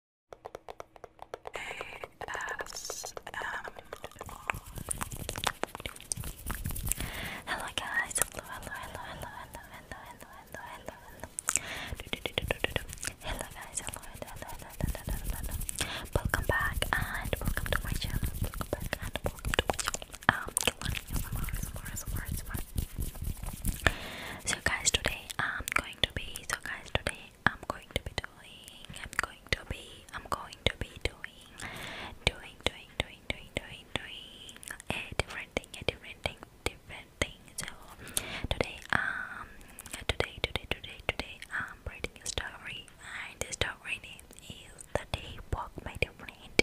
Hello guys, hello, hello, hello, hello, hello, hello, hello, hello, hello, guys, hello, hello, hello, hello, hello, hello. Welcome back and welcome to my channel. Welcome back and welcome to my channel. So guys, today I'm going to be. So guys, today I'm going to be doing, I'm going to be, I'm going to be doing, doing, doing, doing, doing, doing, doing a different thing, a different thing, different thing. So today, um, today, today, today, today, I'm writing a story, and the story name is The Day Walk by the Friend.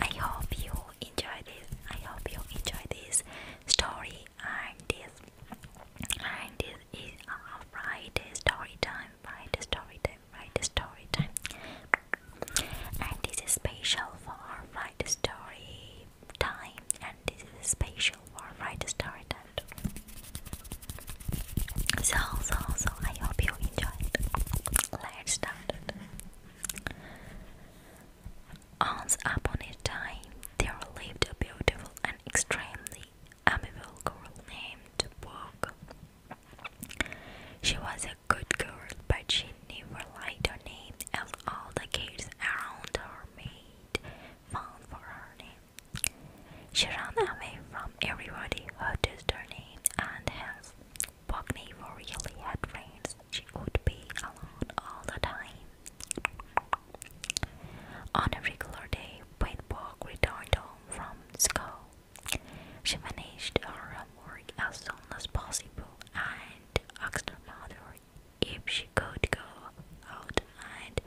I hope you enjoy this. I hope you enjoy this story and this and this is our uh, Friday story time. Friday story time. Friday story time. And this is special for our story time. And this is special for our story time. So so so. I hope you enjoyed. Let's start. Once upon a time, there lived a beautiful and extremely amiable girl named Bog. She was a good girl, but she never liked her name, and all the kids around her made fun for her name. She ran away from everybody who used her name, and hence Bog never really had friends. She would be alone all the time. On a regular day, when Paintball returned home from school. She managed her homework as soon as possible and asked her mother if she could go out and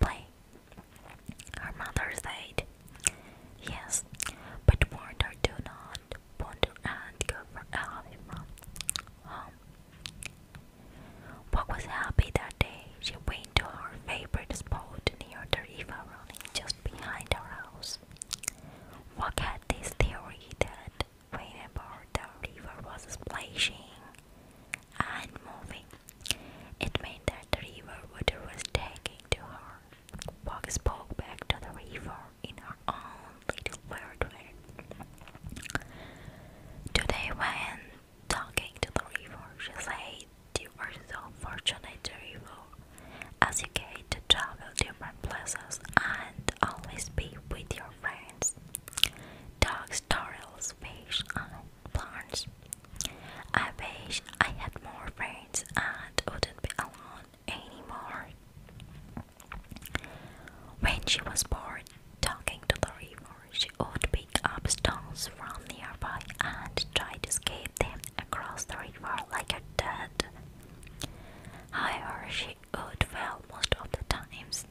play. Her mother said yes, but warned her to not wander and go for a from home Puck was happy that day. She went to her favorite spot near the river running just behind her house. Puck had this theory that whenever the river was splashing and moving, it meant that the river water was taking to her. Puck spoke back to the river in her own little Today, when talking to the river, she said, You are so fortunate, river, as you get to travel different places and always be with your friends. Dogs, turtles, fish, and plants. I wish I had more friends and wouldn't be alone anymore. When she was bored talking to the river, she would pick up stones from nearby and try to skate them across the river like a dad. However, she would fail most of the times.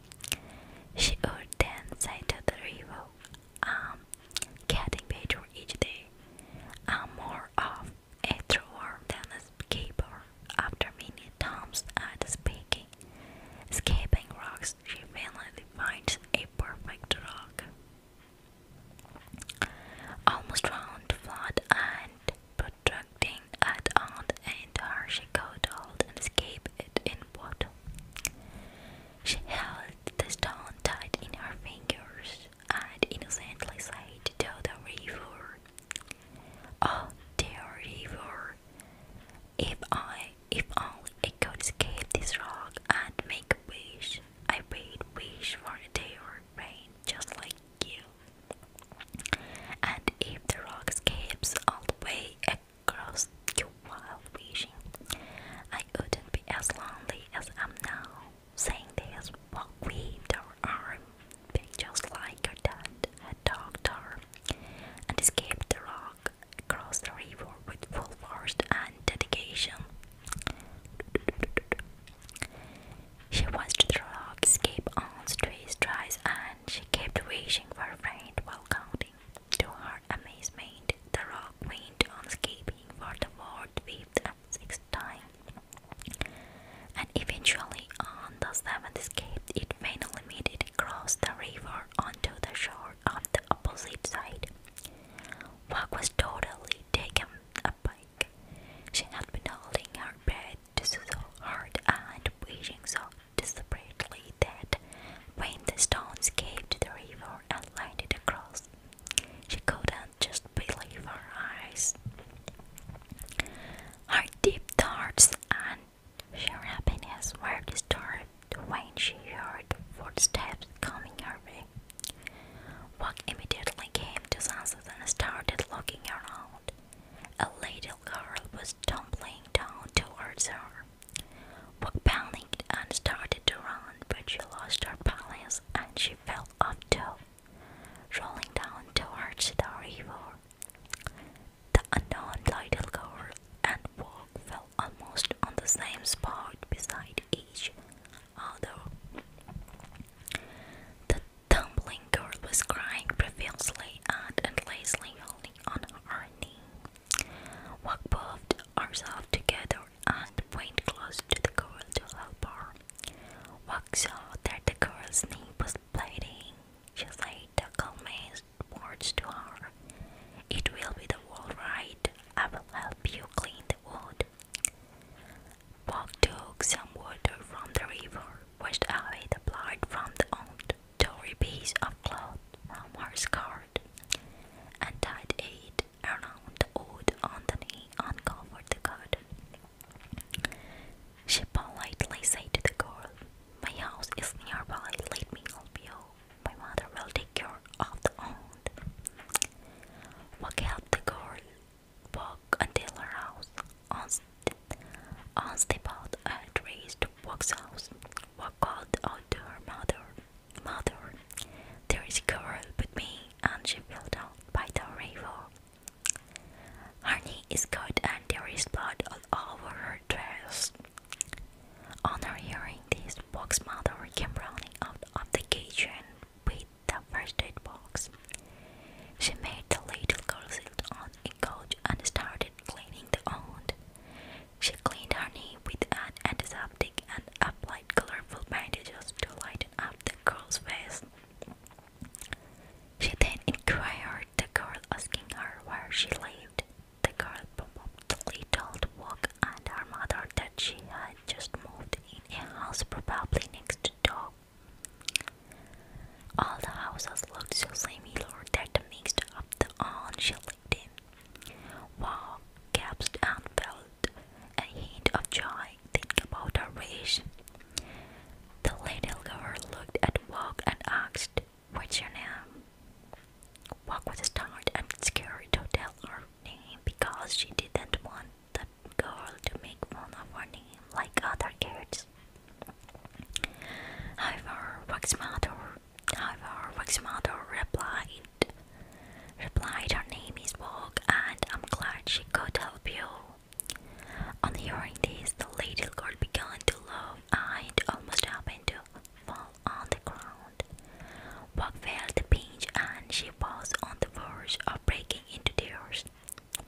She would then say to the river, I'm getting better each day. I'm more of a thrower than a after many attempts at escaping. rocks, she finally finds a perfect rock. Almost round, flat, and protruding at one end, her she hold and escape it in water. She held the stone tight in her fingers and innocently sighed to the river Oh, dear river! If I, if I could escape this rock and make a wish. I made wish for a day or rain, just like you. And if the rock escapes all the way across you while wishing, I wouldn't be as lonely as I'm now. Saying this, walk with the arm, big just like her dad had dogged and escaped the rock across the river with full force and dedication. She watched the rock escape on three strides and she kept wishing for a friend while counting. To her amazement, the rock went on escaping for the fourth, fifth, sixth time and eventually, on the seventh escape, it finally made it across the river onto the shore of the opposite side. Wag was totally taken aback. She had been holding her breath so hard and wishing so desperately that when the stones came the river and landed across, she couldn't just believe our eyes. Her deep thoughts and sheer happiness were disturbed when she heard footsteps coming her way. Walk immediately came to Sunset and started looking around. A little girl was tumbling down towards her. Walk panicked and started to run, but she lost her balance and she fell off too rolling down towards the river. The unknown little girl and Bob fell almost on the same spot beside each other. The tumbling girl was crying profusely and endlessly holding on her knee. Walk puffed herself together and went close to the girl to help her. So that the girl's name was bleeding. She said the commands words to her. It will be the world right. I will help you clean the wood. Bog took some water from the river, washed away the blood from the old, tore piece of cloth from her skirt, and tied it around the wood on the knee and covered the she politely said to the girl, My house is nearby, let me help you. My mother will take care of the old." Walk helped the girl walk until her house. On step out and raised Walk's house. Walk out to her mother, Mother, there is a girl with me, and she fell down by the river. Her knee is cut, and there is blood all over her dress. On hearing this, box mother came running out of the kitchen with the first aid box. She made the little girl sit on a couch and started cleaning the wound. She cleaned her knee with an antiseptic and applied colorful bandages to lighten up the girl's face. She then inquired the girl, asking her where she lived. The girl promptly told Walk and her mother that she had just moved in a house probably next door. All the houses looked so similar that they mixed up the one she lived in. Walk gasped and fell a hint of joy. Think about our wish. The little girl looked at Walk and asked, What's your name? Walk was tired and scared to tell her name because she didn't want the girl to make fun of her name like other kids. However, Walk's mother, however, Walk's mother replied, Replied, Her name is Vogue, and I'm glad she could help you. On hearing this, the little girl began to laugh and almost happened to fall on the ground. Vogue felt the pinch, and she was on the verge of breaking into tears.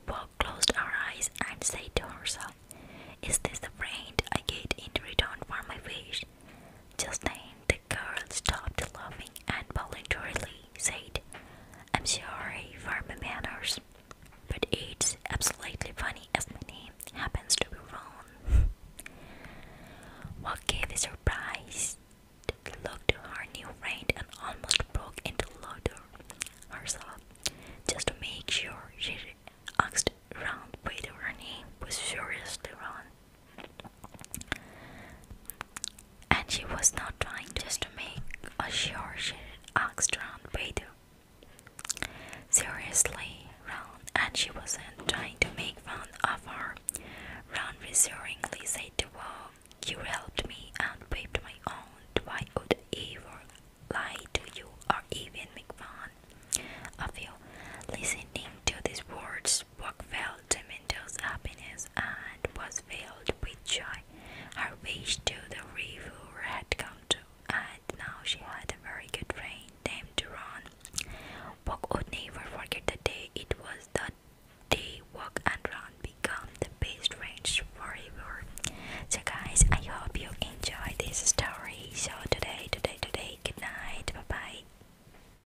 Vogue closed her eyes and said to herself, Is this the friend I get in return for my wish? Just then, the girl stopped laughing and voluntarily said, I'm sorry for my manners, but it's absolutely funny as my name happens to be wrong. what gave the surprise look to her new friend and almost broke into laughter herself just to make sure she asked around whether her name was seriously wrong. And she was not trying just to make a sure she asked Ron Bader. Seriously, Ron, and she wasn't trying to make fun of her. Ron reassuringly said to her, You helped me and paved my own. Why would ever lie to you or even make fun of you? Listening to these words, Buck felt felt tremendous happiness and was filled with joy. Her wish to the river had come true, and now she had a very good friend named Ron. Puck would never forget the day it was the day Puck and Ron become the best friends forever. So guys, I hope you enjoyed this story. So today, today, today, good night, bye bye.